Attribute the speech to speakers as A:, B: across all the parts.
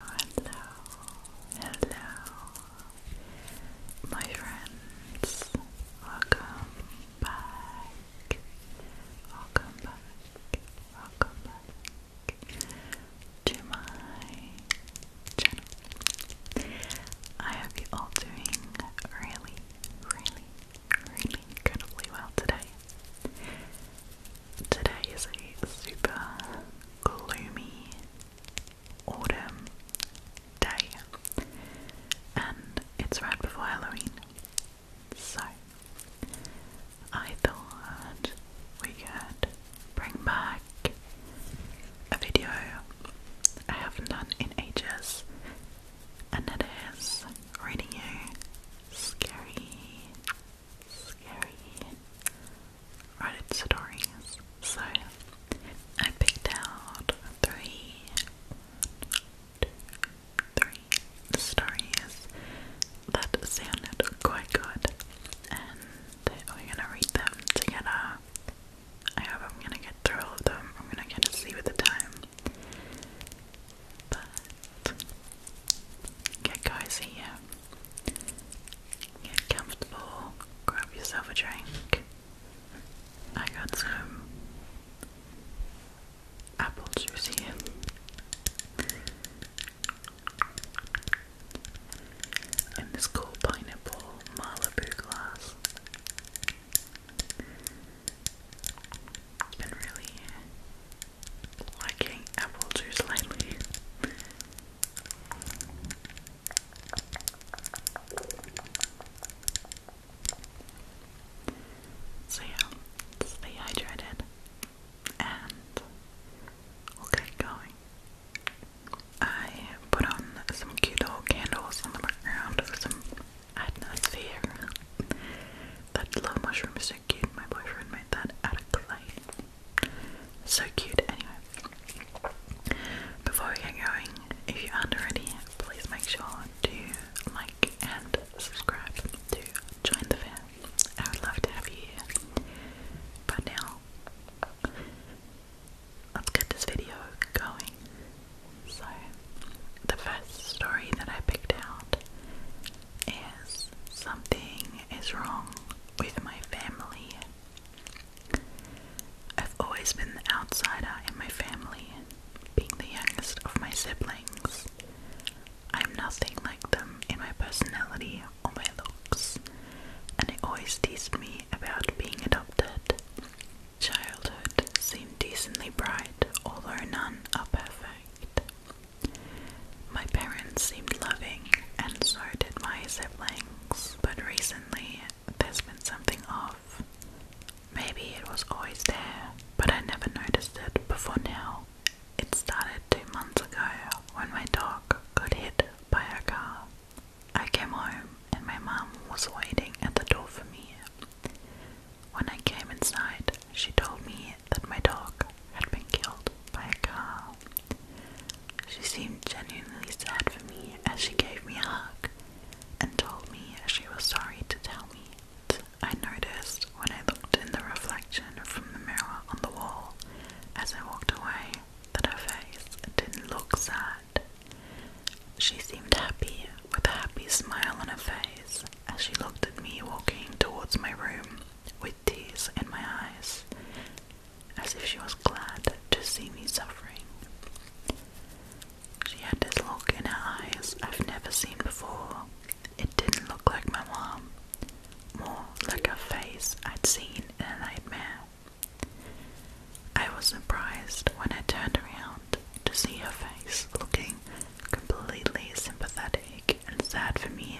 A: Hello, hello, my friends. Welcome back. Welcome back. Welcome back to my channel. I hope you all doing really, really, really incredibly well today. Today is a super gloomy autumn day, and it's right before Halloween. So, I thought we could bring back a video I haven't done in ages, and it is reading you scary, scary Reddit stories. So I picked out three, two, three stories that sounded quite good, and we're gonna read them together. I hope I'm gonna get through all of them. I'm gonna get to see with the time. But get cozy here. Get comfortable, grab yourself a drink. I got some apple juice here. In this cool pineapple Malibu glass. It's been really liking apple juice lately. So yeah, stay hydrated and we going. I put on some cute little candles on the background some atmosphere. that little mushroom is so cute. My boyfriend made that out of clay. So cute, anyway. Before we get going, if you are already, please make sure to like and subscribe to join the fam. I would love to have you But now, let's get this video going. So, the first story that I picked out is something is wrong with my family. I've always been the outsider in my family, being the youngest of my siblings. I'm nothing like them in my personality or my looks, and they always tease me about being adopted. Childhood seemed decently bright, although none are perfect. My parents seemed loving, and so did my siblings, but recently there's been something off. Maybe it was always there, but I never noticed it before now. It started two months ago when my dog got hit by a car. I came home and my mom was waiting at the door for me. When I came inside, she told me that my dog had been killed by a car. She seemed genuinely sad for me as she gave me a hug and told me as she was sorry to tell me. I noticed when I looked in the reflection from the mirror on the wall as I walked away that her face didn't look sad. She seemed happy with a happy smile on her face as she looked at me walking towards my room tears in my eyes, as if she was glad to see me suffering. She had this look in her eyes I've never seen before. It didn't look like my mom, more like a face I'd seen in a nightmare. I was surprised when I turned around to see her face looking completely sympathetic and sad for me.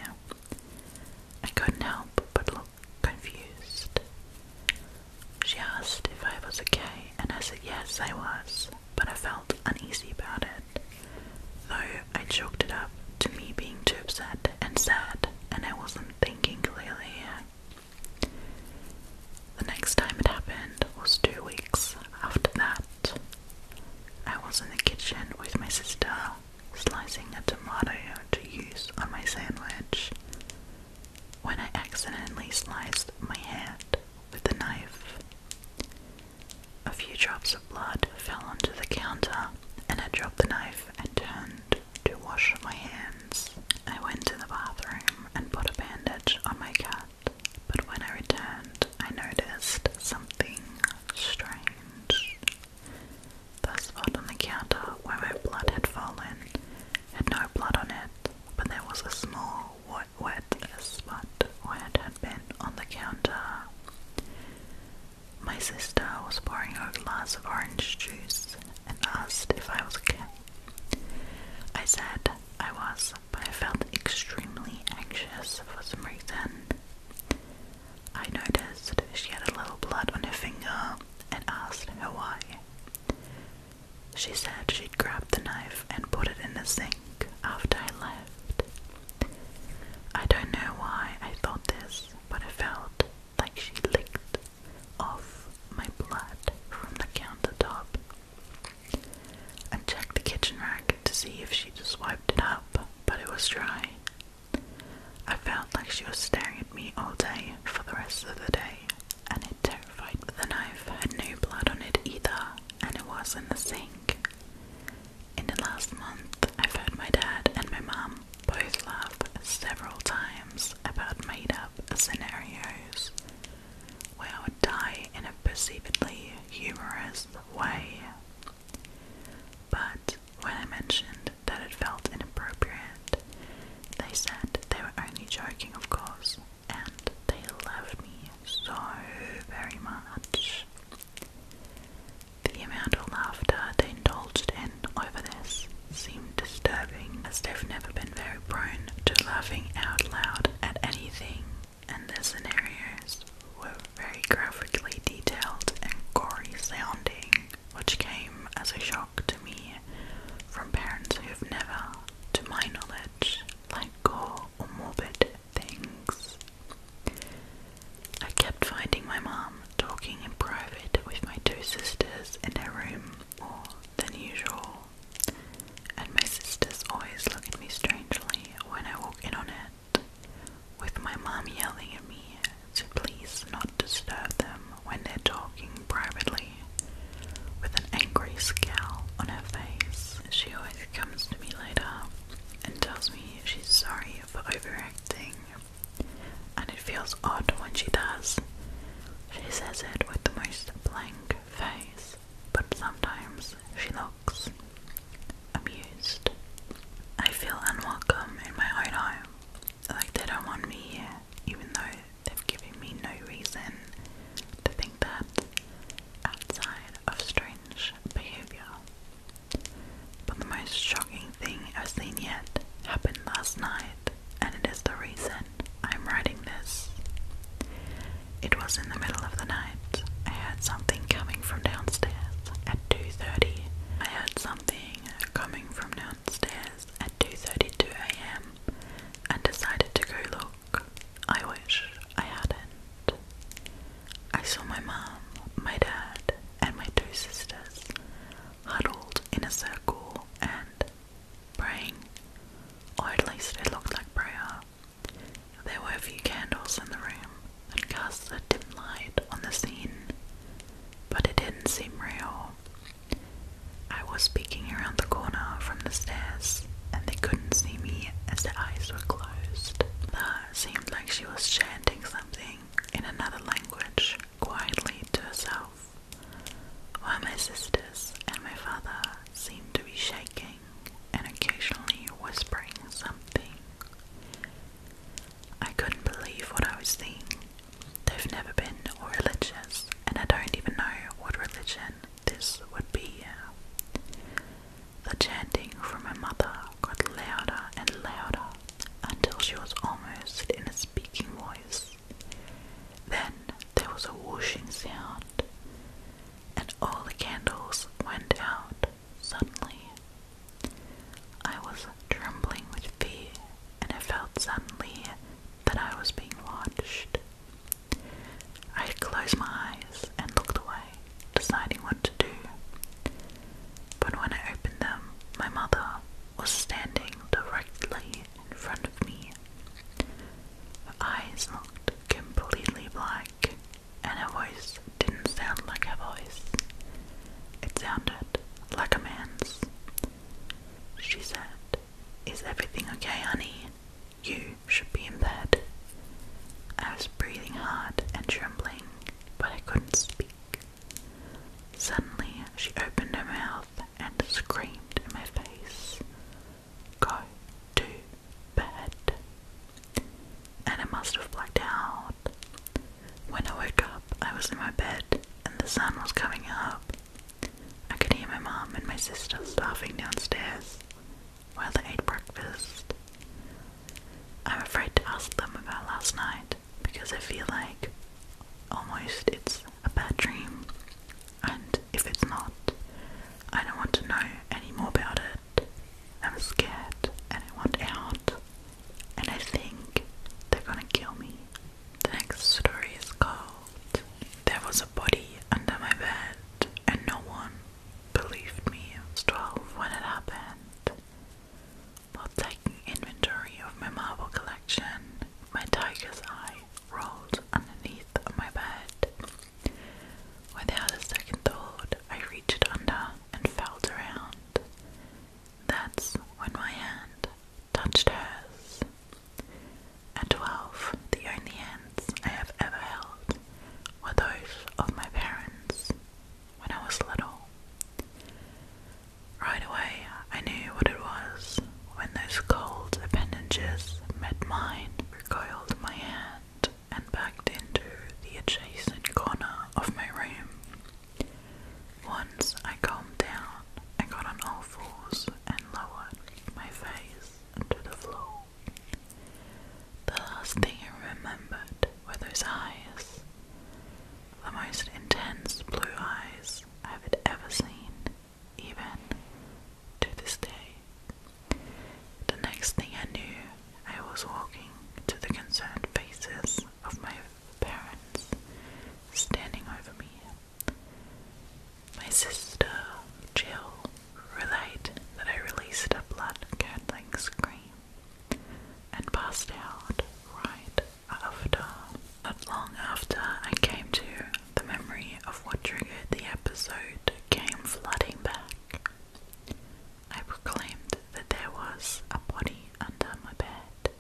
A: I couldn't help but look confused. She asked if I was okay, and I said yes, I was, but I felt uneasy about it. Though I chalked it up to me being too upset and sad, and I wasn't thinking clearly. The next time it happened was two weeks after that. I was in the kitchen with my sister slicing a tomato to use on my sandwich when I accidentally sliced my hand with the knife. A few drops of blood fell onto the counter, and I dropped the knife and turned to wash my hands. I went to the bathroom and put a bandage on my cut, but when I returned, I noticed something strange. The spot on the counter where my blood had fallen had no blood on it, but there was a small wet, wet spot where it had been on the counter. My sister was pouring her a glass of orange juice and asked if I was okay. I said I was, but I felt extremely anxious for some reason. I noticed she had a little blood on her finger and asked her why. She said she'd grabbed the knife and put it in the sink after I left. I don't know why I thought this, but I felt like she licked off my blood from the countertop. I checked the kitchen rack to see if she just wiped it up, but it was dry I felt like she was staring at me all day for the rest of the day, and it terrified me. The knife had no blood on it either, and it was in the sink. In the last month, I've heard my dad and my mum both laugh several times about made up scenarios where I would die in a perceivably humorous way. But when I mentioned that it felt inappropriate, they said they were only joking, of course, and they loved me so very much. The amount of laughter they indulged in over this seemed disturbing, as they've never been very prone to laughing out loud at anything, and their scenarios were very graphically detailed and gory sounding, which came as a shock to me from parents who have never, to my knowledge, like gore or morbid things. I kept finding my mum talking in private with my two sisters in her room more than usual, and my sisters always look at me strangely when I walk in on it with my mom yelling at me to please not disturb them when they're talking privately, with an angry scowl on her face. She always comes to me later and tells me she's sorry for overacting, and it feels odd when she does. She says it with the most blank face, but sometimes she looks abused. I feel unwelcome in my own home. Like they don't want me here, even though they've given me no reason to think that outside of strange behaviour. But the most shocking thing I've seen yet happened last night, and it is the reason I'm writing this. It was in the middle of the night. I heard something coming from downstairs 2.30. I heard something coming from downstairs at 2.32am and decided to go look. I wish I hadn't. I saw my mom, my dad and my two sisters huddled in a circle and praying, or at least it looked like prayer. There were a few candles in the room, and cast a dim light on the scene, but it didn't seem real. I was peeking around the corner from the stairs, and they couldn't see me as their eyes were closed. That seemed like she was chanting something in another language quietly to herself, while my sisters and my father seemed to be shaking and occasionally whispering something I couldn't believe what I was seeing. They've never been religious, and I don't even know what religion this would be. The chanting from her mother got louder and louder until she was almost in a speaking voice. Then there was a whooshing sound, and all the candles went out. Suddenly, I was trembling with fear, and I felt suddenly that I was being watched. I closed my eyes and looked away, deciding what to do. But when I opened them, my mother was standing directly in front of me. Her eyes looked completely black, and her voice didn't sound like her voice. It sounded like a man's. She said, Is everything okay, honey? You should be in bed. I was breathing hard and trembling, but I couldn't speak. Suddenly, she opened her mouth and screamed in my face, Go to bed and I must have blacked out. When I woke up, I was in my bed and the sun was coming up. I could hear my mum and my sister laughing downstairs while they ate breakfast. I'm afraid to ask them about last night because I feel like almost it's a bad dream, and if it's not, I don't want to know any more about it. I'm scared and I want out. And I think they're gonna kill me. The next story is called There Was a Body Under My Bed and No One Believed Me. I was 12 when it happened. While taking inventory of my marble collection, my tiger's eye rolled underneath my bed. Without a second thought, I reached under and felt around. That's when my hand touched hers. At twelve, the only hands I have ever held were those of my parents when I was little. Right away, I knew what it was when those cold appendages met mine, recoiled my hand and backed into the adjacent corner of my room. Once I calmed down, I got on all fours and lowered my face to the floor. The last thing I remembered were those eyes, the most intense blue eyes I had ever seen, even to this day. The next thing I knew, I was walking to the concerned faces of my parents standing over me. My sister, Jill, relayed that I released a blood curdling scream and passed out right after. Not long after I came to, the memory of what triggered the episode came flooding back. I proclaimed that there was a body under my bed.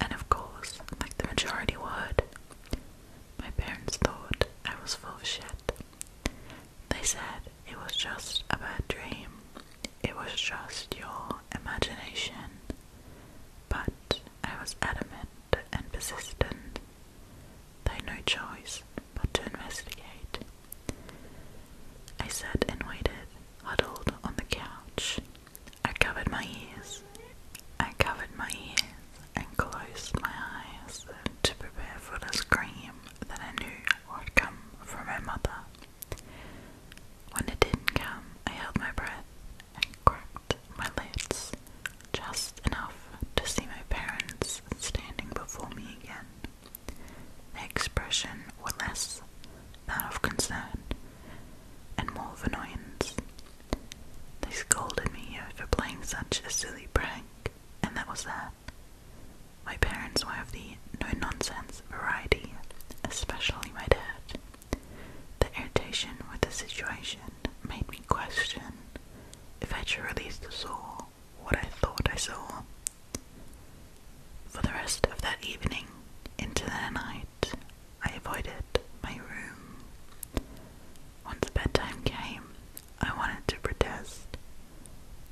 A: And of course, like the majority would, my parents thought I was full of shit. They said it was just a bad dream, it was just your imagination. But I was adamant and persistent. They had no choice but to investigate. I sat and waited, huddled on the couch. I covered my ears. I covered my ears and closed my eyes to prepare for the scream that I knew would come from my mother. When it didn't come, I held my breath and cracked my lids just enough to see my parents standing before me again. The expression was less that of concern and more of annoyance. They scolded me for playing such a silly prank, and that was that. My parents were of the no nonsense variety, especially my dad. The irritation with the situation made me question if I truly saw what I thought I saw. For the rest of that evening, into the night, I avoided my room. Once bedtime came, I wanted to protest,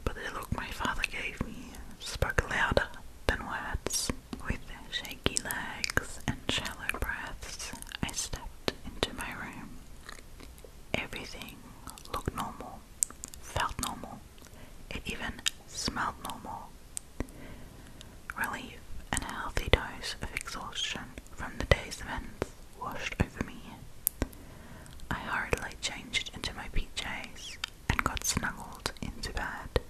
A: but the look my father gave me spoke louder than words. With shaky legs and shallow breaths, I stepped into my room. Everything looked normal felt normal, it even smelled normal. Relief and a healthy dose of exhaustion from the day's events washed over me. I hurriedly changed into my PJs and got snuggled into bed.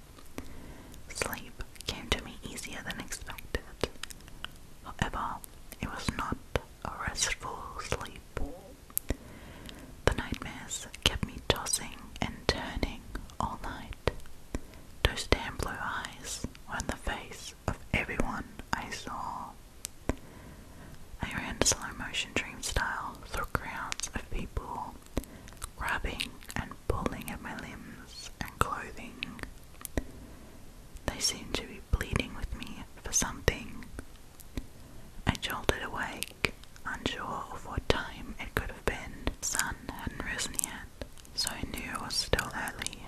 A: Sleep came to me easier than expected. However, it was not a restful sleep. The nightmares kept me tossing and turning all night. Those damn blue eyes on the face of everyone I saw. I ran slow motion dream style through crowds of people, grabbing and pulling at my limbs and clothing. They seemed to be pleading with me for something I jolted awake, unsure of what time it could have been. sun hadn't risen yet, so I knew it was still early.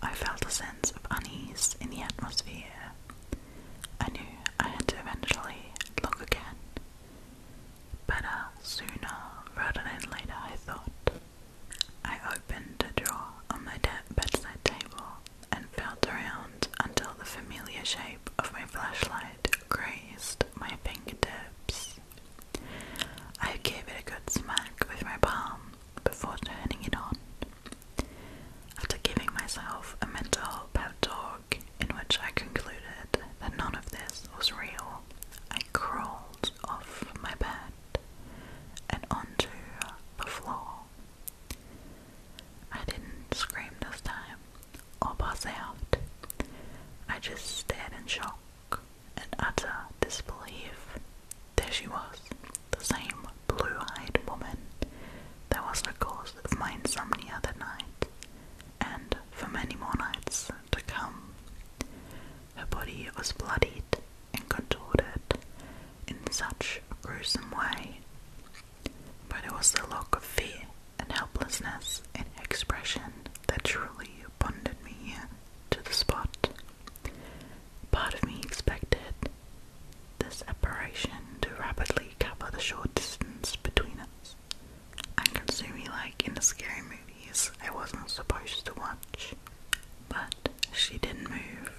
A: I felt a sense of unease in the atmosphere. I knew I had to eventually look again. Better sooner rather than later, I thought. I opened a drawer on my bed bedside table and felt around until the familiar shape of my flashlight grazed my fingertips. I gave it a good smack with my palm before turning it on. After giving myself a mental pep talk in which I concluded that none of this was real, I crawled off my bed and onto the floor. I didn't scream this time or pass out. I just stared in shock and utter disbelief. There she was, the same blue-eyed woman There was the cause of my insomnia other night, and for many more nights to come. Her body was bloodied and contorted in such a gruesome way but it was the look of fear and helplessness in her expression that truly bonded me to the spot. Part of me expected this apparition to rapidly cover the short distance between us and consume me like in the scary movies I wasn't supposed to watch. But she didn't move,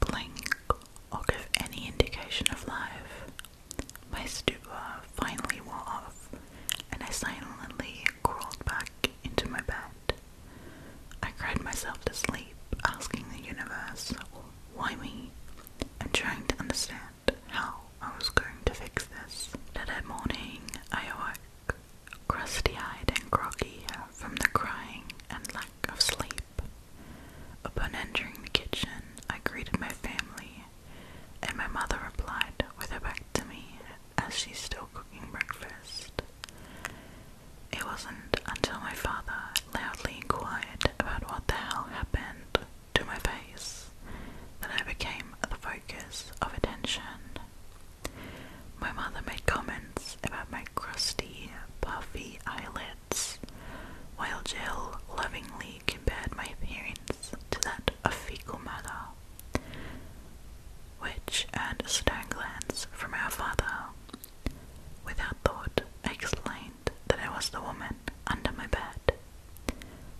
A: blink, or give any indication of life. My stupor finally wore off, and I silently crawled back into my bed. I cried myself to sleep, asking the universe, why me? and trying to understand how I was going to fix this. The next morning, I awoke, crusty-eyed and groggy from the crying and lack of sleep. Upon entering the kitchen, I greeted my family, and my mother replied with her back to me as she's still cooking breakfast. It wasn't until my father loudly inquired about what the hell happened to my face that I became the focus of attention. My mother made comments about my crusty, puffy eyelids, while Jill lovingly compared my appearance to that of fecal matter, which earned a stern glance from our father. Without thought, I explained that I was the woman under my bed.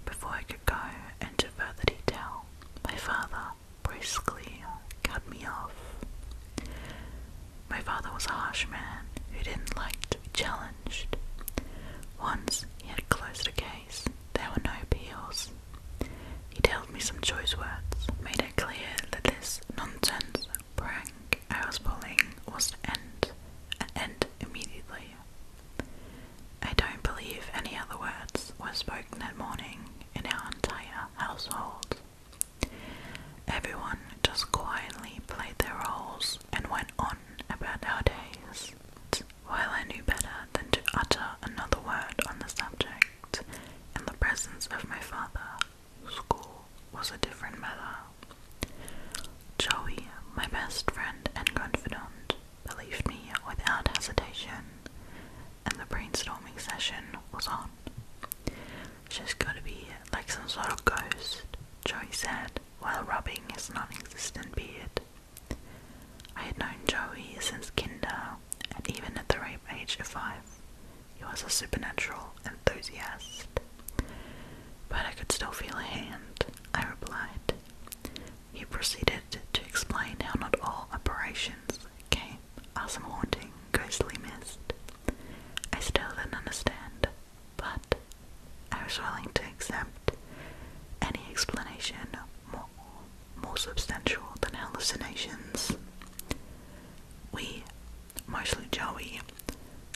A: Before I could go into further detail, my father brusquely cut me off. My father was a harsh man who didn't like to be challenged. Once he had closed a case, there were no appeals. He told me some choice words, made it clear that this nonsense prank I was pulling was to end, and end immediately. I don't believe any other words were spoken that morning in our entire household. Everyone just quietly played their roles and went on about our days. While I knew better than to utter another word on the subject, in the presence of my father, school was a different matter. Joey, my best friend and confidant, believed me without hesitation, and the brainstorming session was on. She's gotta be like some sort of ghost, Joey said, while rubbing his non existent beard. I had known Joey since kinder, and even at the ripe age of five, he was a supernatural enthusiast. But I could still feel a hand, I replied. He proceeded to explain how not all apparitions came as a haunting, ghostly mist. I still do not understand, but I was willing to accept any explanation more, more substantial than hallucinations. We, mostly Joey,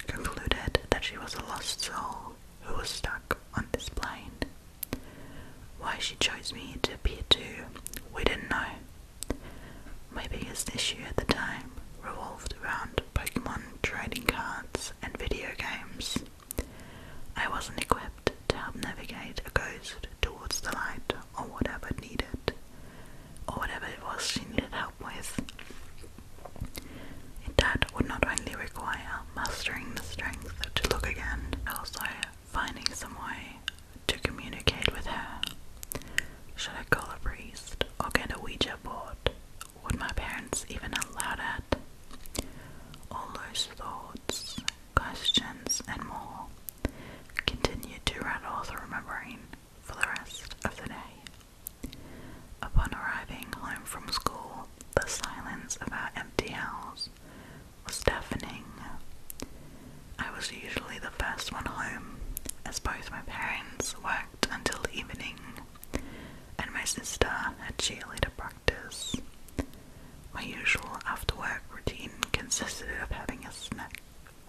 A: concluded that she was a lost soul who was stuck on this plane. Why she chose me to appear to, we didn't know. My biggest issue at the time revolved around Pokemon trading cards and video games. I wasn't equipped to help navigate a ghost towards the light or whatever it needed, or whatever it was she needed help with. That would not only require mastering the strength to look again, but also finding some way to communicate with her. Should I call a priest or get a Ouija board? Would my parents even allow that? All those thoughts, questions, and more continued to rattle through my brain for the rest of the day. Upon arriving home from school, the silence of our empty house was deafening. I was usually the first one home, as both my parents worked packed until evening, and my sister had cheerleader practice. My usual after work routine consisted of having a snack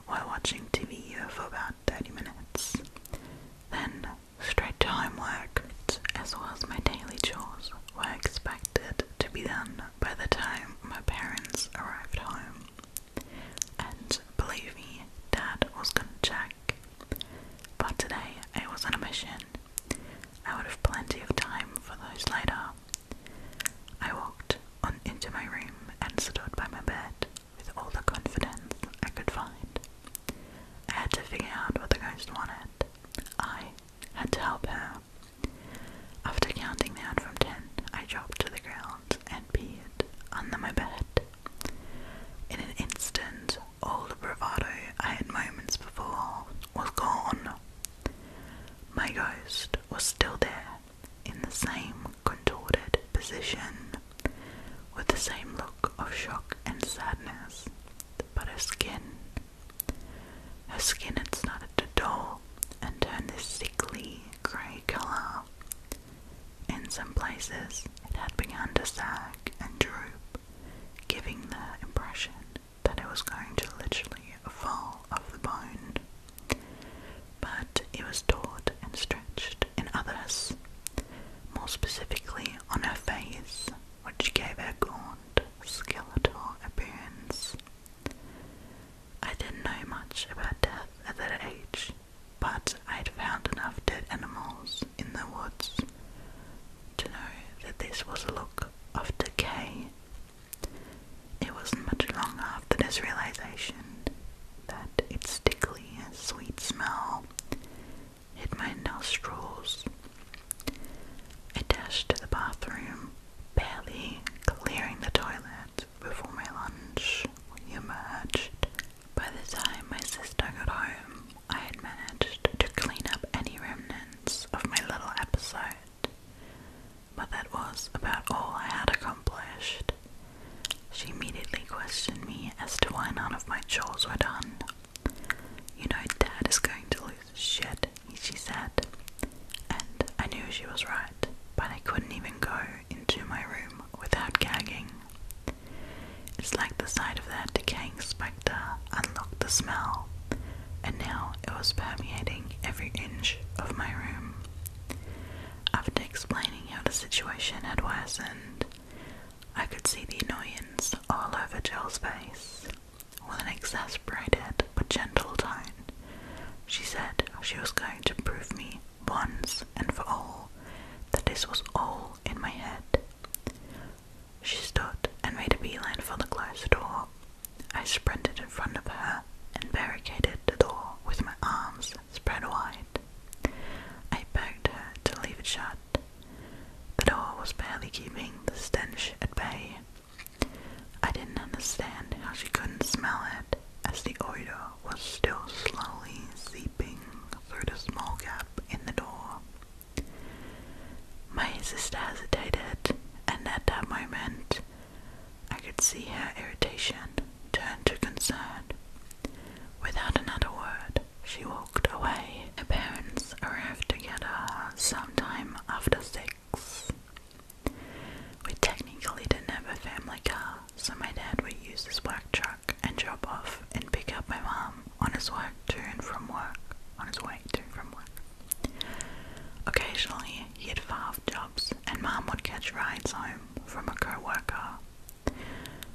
A: while watching TV for about 30 minutes, then straight to homework, as well as my daily chores were expected to be done by the time my parents arrived home. And believe me, Dad was gonna check. But today I was on a mission. I would have plenty of time for those later. I walked on into my room and stood by my bed with all the confidence I could find. I had to figure out what the ghost wanted. I had to help her. After counting down from ten, I dropped to the ground and peered under my bed. In an instant, all the bravado I had moments before was gone. My ghost was still there, in the same contorted position, with the same look of shock and sadness, but her skin. Her skin had started to dull and turn this sickly grey colour. In some places, it had begun to sag and droop, giving the impression that it was going to literally fall off the bone. But it was taut and stretched in others, more specifically on her face, which gave her gaunt, skeletal appearance. I didn't know much about death at that age, but I'd found enough dead animals in the woods to know that this was a look of decay. It wasn't much long after this realization that its stickly, sweet smell hit my nostrils. I dashed to the bathroom, barely clearing the toilet before my lunch, we emerged. By the time my sister got home, I had managed to clean up any remnants of my little episode. But that was about all I had accomplished. She immediately questioned me as to why none of my chores were done. You know, Dad is going to lose shit, she said. And I knew she was right, but I couldn't even go into my room without gagging. It's like the sight of that decaying spectre unlocked the smell, and now it was permeating every inch of my room. After explaining how the situation had worsened, I could see the annoyance all over Jill's face. With an exasperated but gentle tone, she said she was going to prove me once and for all that this was all in my head. She stood and made a beeline for the closed door. I sprinted in front of her and barricaded the door with my arms spread wide. I begged her to leave it shut. The door was barely keeping the stench at bay. I didn't understand how she couldn't smell it as the odour was still slowly seeping through the small gap in the door. My sister hesitated, and at that moment I could see her irritation turn to concern. Without another word, she walked away. Her parents arrived together sometime after six. We technically didn't have a family car, so my dad would use his work truck and drop off and pick up my mom on his work to and from work. On his way to from work. Occasionally, he had five jobs, and mom would catch rides home from a co-worker.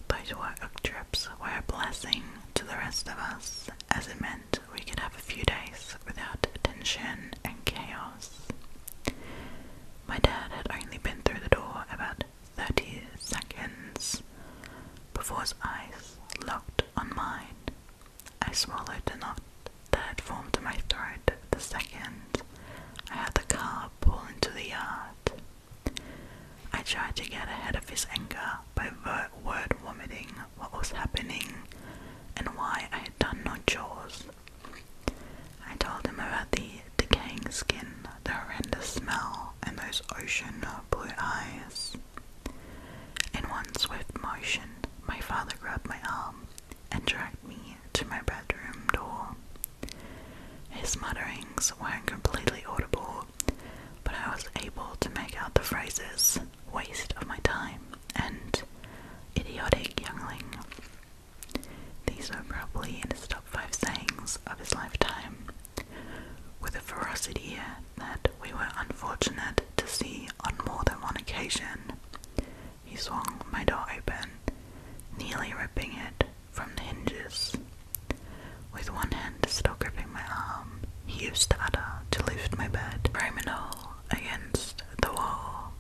A: Those work trips were a blessing to the rest of us, as it meant we could have a few days without tension and chaos. My dad had only been through the door about thirty seconds before his eyes locked on mine. I swallowed the knot that had formed in my throat the second I had the car pull into the yard. I tried to get ahead of his anger by word vomiting what was happening and why I had done no chores I told him about the decaying skin, the horrendous smell, and those ocean blue eyes. In one swift motion, my father grabbed my arm and dragged me to my bedroom door. His mutterings weren't completely audible, but I was able to make out the phrases waste of my time and idiotic youngling. These are probably in his top five sayings of his lifetime, with a ferocity that we were unfortunate to see on more than one occasion. He swung my door open, nearly ripping it from the hinges. With one hand still gripping my arm, he used the other to lift my bed, Romanol, against the wall.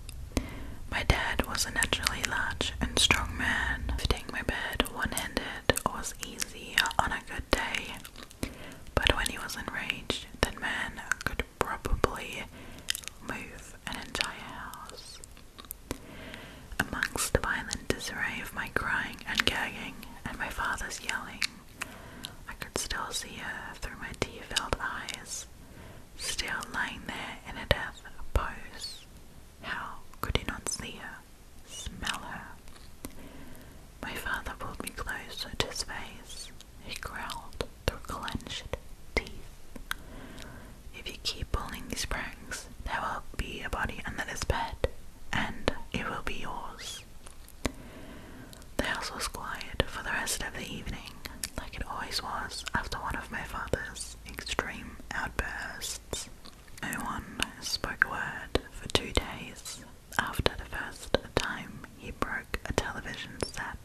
A: My dad was a naturally large and strong man. Fitting my bed one-handed was easy on a good day, but when he was enraged, that man could probably move an entire house. Amongst the violent disarray of my crying and gagging and my father's yelling, I could still see her through my tear-filled eyes still lying there in a death pose. How could he not see her, smell her? My father pulled me closer to his face. He growled through clenched teeth. If you keep pulling these pranks, there will be a body under this bed, and it will be yours. The house was quiet for the rest of the evening, like it always was after one of my father's extreme outbursts. No one spoke a word for two days after the first time he broke a television set.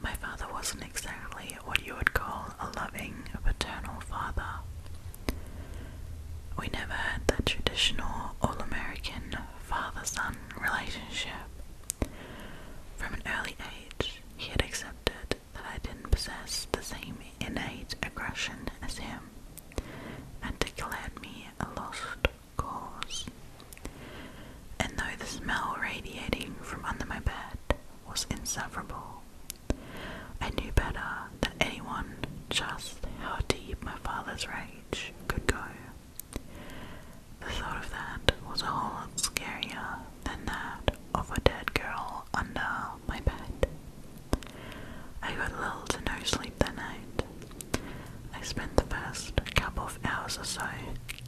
A: My father wasn't exactly what you would call a loving paternal father. We never had the traditional all American father son relationship. From an early age, he had accepted that I didn't possess the same innate aggression as him, and declared me a lost cause. And though the smell radiating from under my bed was insufferable, I knew better than anyone just how deep my father's rage could go. The thought of that was a whole lot scarier than that of a dead girl under my bed. I got little to no sleep that night. I spent the first couple of hours or so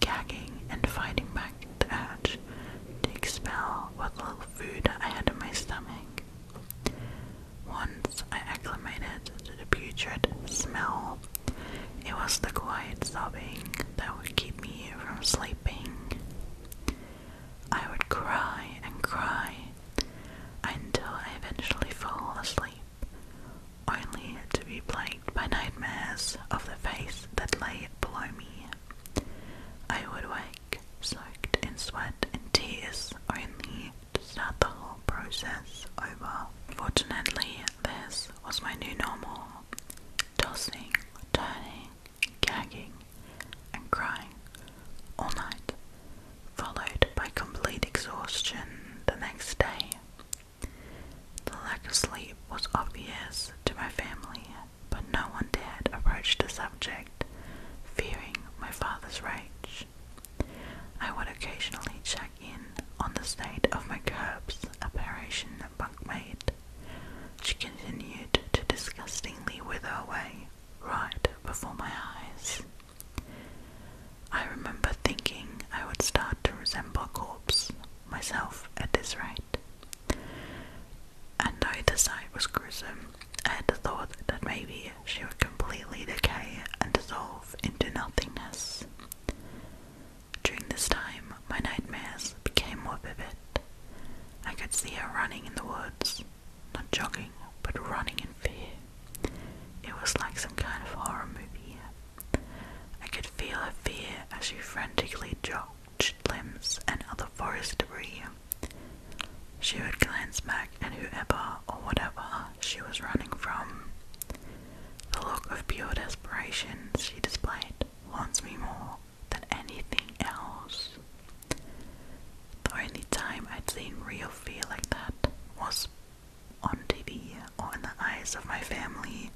A: gagging and fighting back the urge to expel what little food I had in my stomach. Once I acclimated to the putrid smell, it was the quiet sobbing that would keep me from sleeping. I would cry and cry until I eventually fall asleep, only to be plagued by nightmares of the face that lay below me. I would wake, soaked in sweat and tears, only to start the whole process over. Fortunately, this was my new normal tossing, turning, gagging, and crying all night, followed by complete exhaustion the next day. The lack of sleep was obvious to my family, but no one dared approach the subject, fearing my father's rage. I would occasionally check in on the state of my curbs, a Parisian bunkmate she continued to disgustingly wither away right before my eyes. I remember thinking I would start to resemble a corpse myself at this rate. And though the sight was gruesome, I had the thought that maybe she would completely decay and dissolve into nothingness. During this time, my nightmares became more vivid. I could see her running in the woods, not jogging, but running in fear. It was like some kind of horror movie. I could feel her fear as she frantically dropped limbs and other forest debris. She would glance back at whoever or whatever she was running from. The look of pure desperation she displayed wants me more than anything else. The only time I'd seen real fear like that was on TV or in the eyes of my family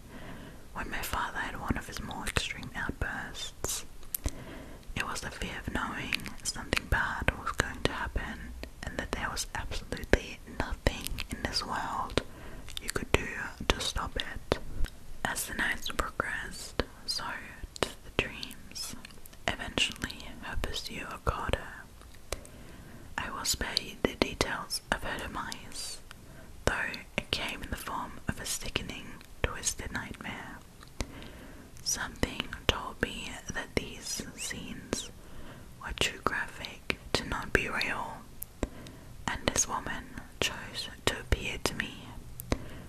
A: when my father had one of his more extreme outbursts. It was the fear of knowing something bad was going to happen and that there was absolutely nothing in this world you could do to stop it. As the nights progressed, so did the dreams. Eventually, her pursuer caught her. I will spare you the details of her demise, though it came in the form of a sickening, twisted nightmare. Something told me that these scenes were too graphic to not be real, and this woman chose to appear to me.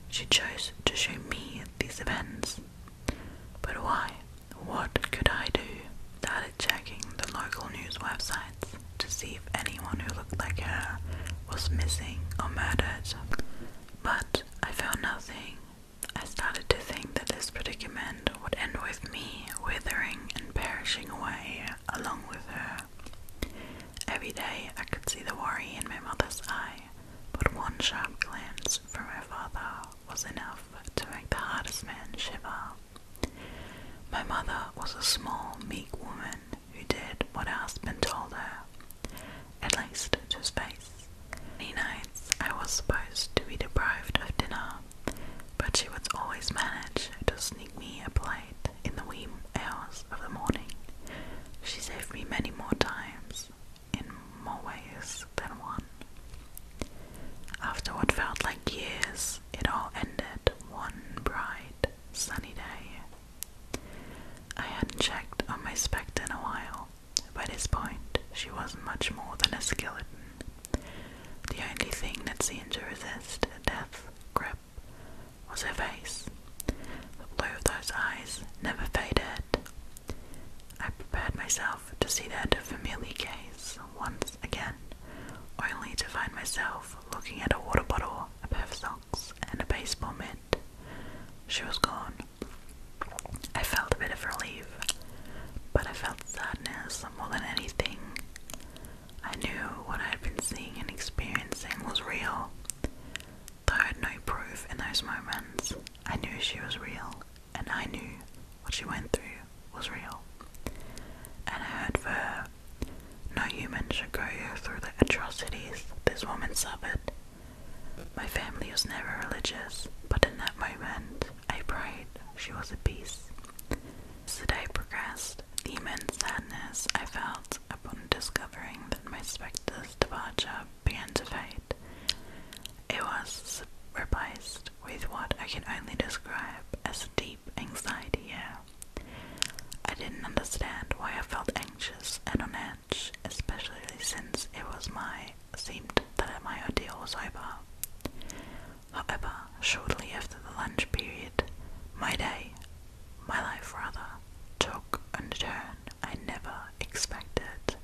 A: She chose to show me these events. But why? What could I do? Started checking the local news websites to see if anyone who looked like her was missing or murdered. But I found nothing. I started to think that this predicament would end with me withering and perishing away along with her. Every day I could see the worry in my mother's eye, but one sharp glance from my father was enough to make the hardest man shiver. My mother was a small, meek woman who did what her been told her, at least to space. face. Many nights I was supposed to be deprived of dinner, but she would always manage to sneak me apply it in the wee hours of the morning. She saved me many more times, in more ways than one. After what felt like years, it all ended one bright, sunny day. I hadn't checked on my Spectre in a while. but at this point, she wasn't much more than a skeleton. The only thing that seemed to resist a death grip was her face. The blue of those eyes never faded. I prepared myself to see that familiar gaze once again, only to find myself looking at a water bottle, a pair of socks, and a baseball mitt. She was gone. I felt a bit of relief, but I felt sadness more than anything. I knew what I had been seeing and experiencing was real. Though I had no proof in those moments, I knew she was real, and I knew what she went through was real. And I heard for her, no human should go through the atrocities this woman suffered. My family was never religious, but in that moment I prayed she was at peace. As the day progressed, the immense sadness I felt upon discovering that my specter's departure began to fade. It was replaced with what I can only describe as deep anxiety I didn't understand why I felt anxious and on edge, especially since it was my seemed that my ordeal was over. However, shortly after the lunch period, my day, my life rather, took a turn I never expected.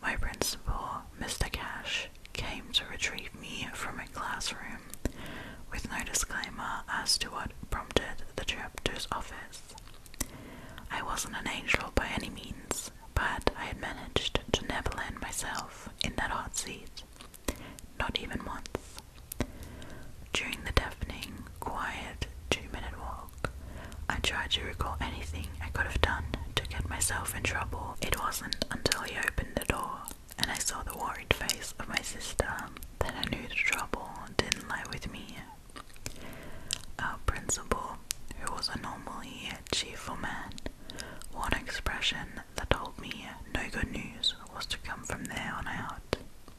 A: My principal, Mr. Cash, came to retrieve me from a classroom with no disclaimer as to what prompted the trip to his office. I wasn't an angel by any means, but I had managed to never land myself in that hot seat. Not even once. During the deafening, quiet two minute walk, I tried to recall anything I could have done to get myself in trouble. It wasn't until he opened the door and I saw the worried face of my sister that I knew the trouble didn't lie with me. Our principal, who was a normally cheerful man, wore expression that told me no good news was to come from there on out.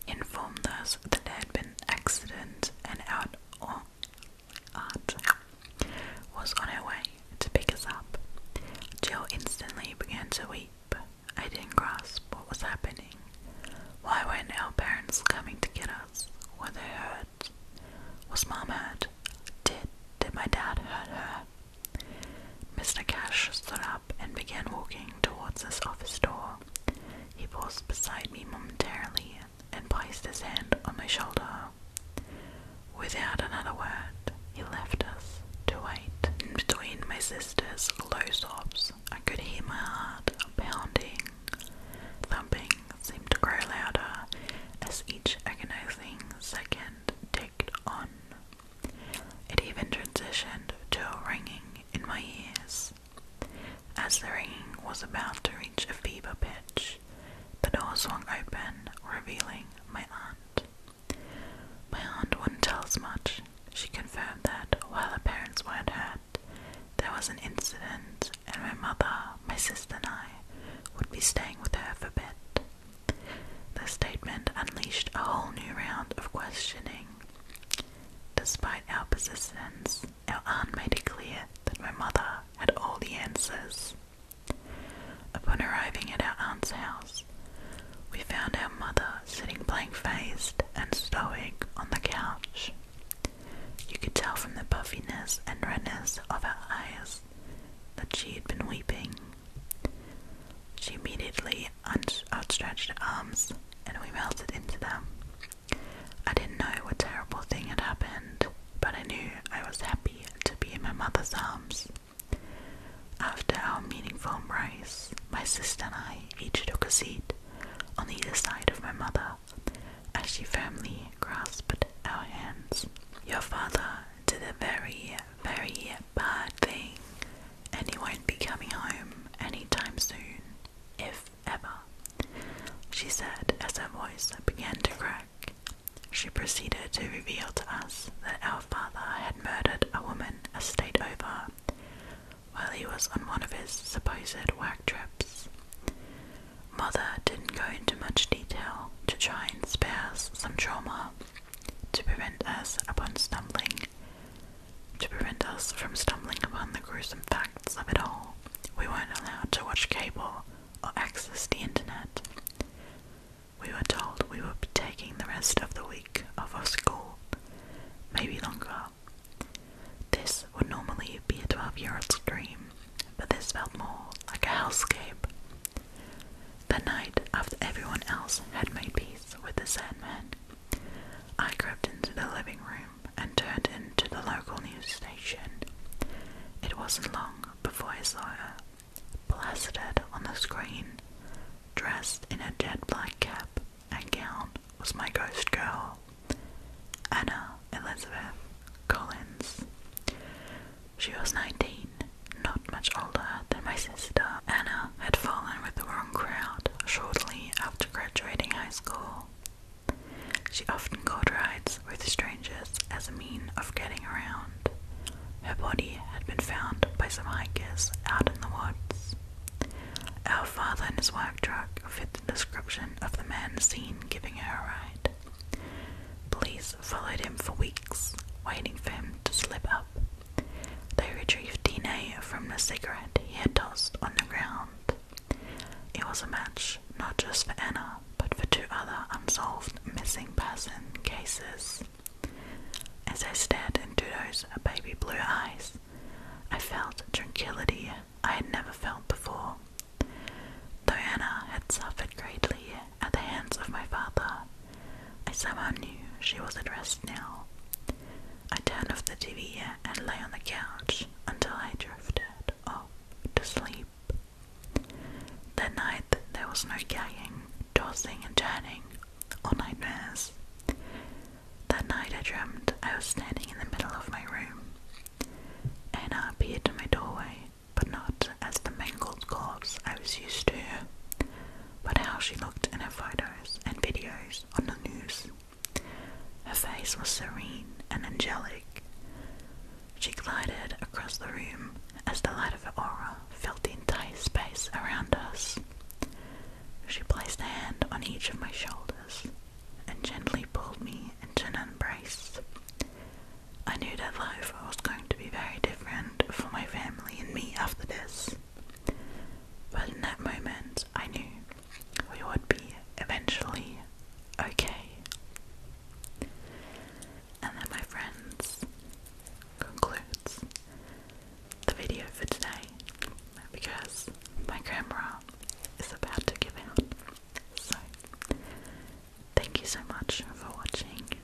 A: Informed us that there had been accident and out or Art was on her way to pick us up. Jill instantly began to weep. I didn't grasp what was happening. Why weren't our parents coming to get us? Were they hurt? Was Mom hurt? Did did my dad hurt her? Mr. Cash stood up and began walking towards his office door. He paused beside me momentarily and placed his hand on my shoulder. Without another word, he left us to wait. In between my sister's low sobs, I could hear my heart pounding. Thumping seemed to grow louder as each agonizing second ticked on. It even transitioned to a ringing in my ears. As the ringing was about to reach a fever pitch, the door swung open, revealing my aunt. My aunt wouldn't tell us much. She confirmed that while her parents weren't hurt, there was an incident, and my mother, my sister, and I would be staying with her for a bit. The statement unleashed a whole new round of questioning. Despite our persistence, our aunt made it clear that my mother had all the answers. Upon arriving at our aunt's house, we found our mother sitting blank faced and stoic on the couch. You could tell from the puffiness and redness of her eyes that she had been weeping. She immediately outstretched her arms, and we melted into them. I didn't know what terrible thing had happened, but I knew I was happy to be in my mother's arms. After our meaningful embrace, my sister and I each took a seat on either side of my mother as she firmly grasped our hands. Your father did the very very bad thing, and he won't be coming home anytime soon, if ever, she said as her voice began to crack. She proceeded to reveal to us that our father had murdered a woman a state over while he was on one of his supposed work trips. Mother didn't go into much detail to try and spare us some trauma, to prevent us upon stumbling to prevent us from stumbling upon the gruesome facts of it all. We weren't allowed to watch cable or access the internet. We were told we would be taking the rest of the week off of school, maybe longer. This would normally be a 12 year old's dream, but this felt more like a hellscape the night after everyone else had made peace with the Sandman, I crept into the living room and turned into the local news station. It wasn't long before I saw her, on the screen, dressed in a dead black cap and gown, was my ghost girl, Anna Elizabeth Collins. She was 19, not much older than my sister. Anna had fallen with the wrong crowd shortly after graduating high school. She often caught rides with strangers as a means of getting around. Her body had been found by some hikers out in the woods. Our father and his work truck fit the description of the man seen giving her a ride. Police followed him for weeks, waiting for him to slip up. They retrieved DNA from the cigarette he had tossed on the ground. It was a match not just for Anna, but for two other unsolved missing person cases. As I stared into those baby blue eyes, I felt tranquility I had never felt before. Though Anna had suffered greatly at the hands of my father. I somehow knew she was addressed. now. I turned off the TV and lay on the couch until I drifted off to sleep. That night there was no gazing, tossing and turning, or nightmares. That night I dreamed I was standing in the middle of my room. Anna appeared in my doorway, but not as the mangled corpse I was used to but how she looked in her photos and videos on the news. Her face was serene and angelic. She glided across the room as the light of her aura filled the entire space around us. She placed a hand on each of my shoulders and gently pulled me into an embrace. I knew that life it was going to be very different for my family and me after this. But in that moment, I knew we would be eventually okay. And that, my friends, concludes the video for today because my camera is about to give out. So, thank you so much for watching.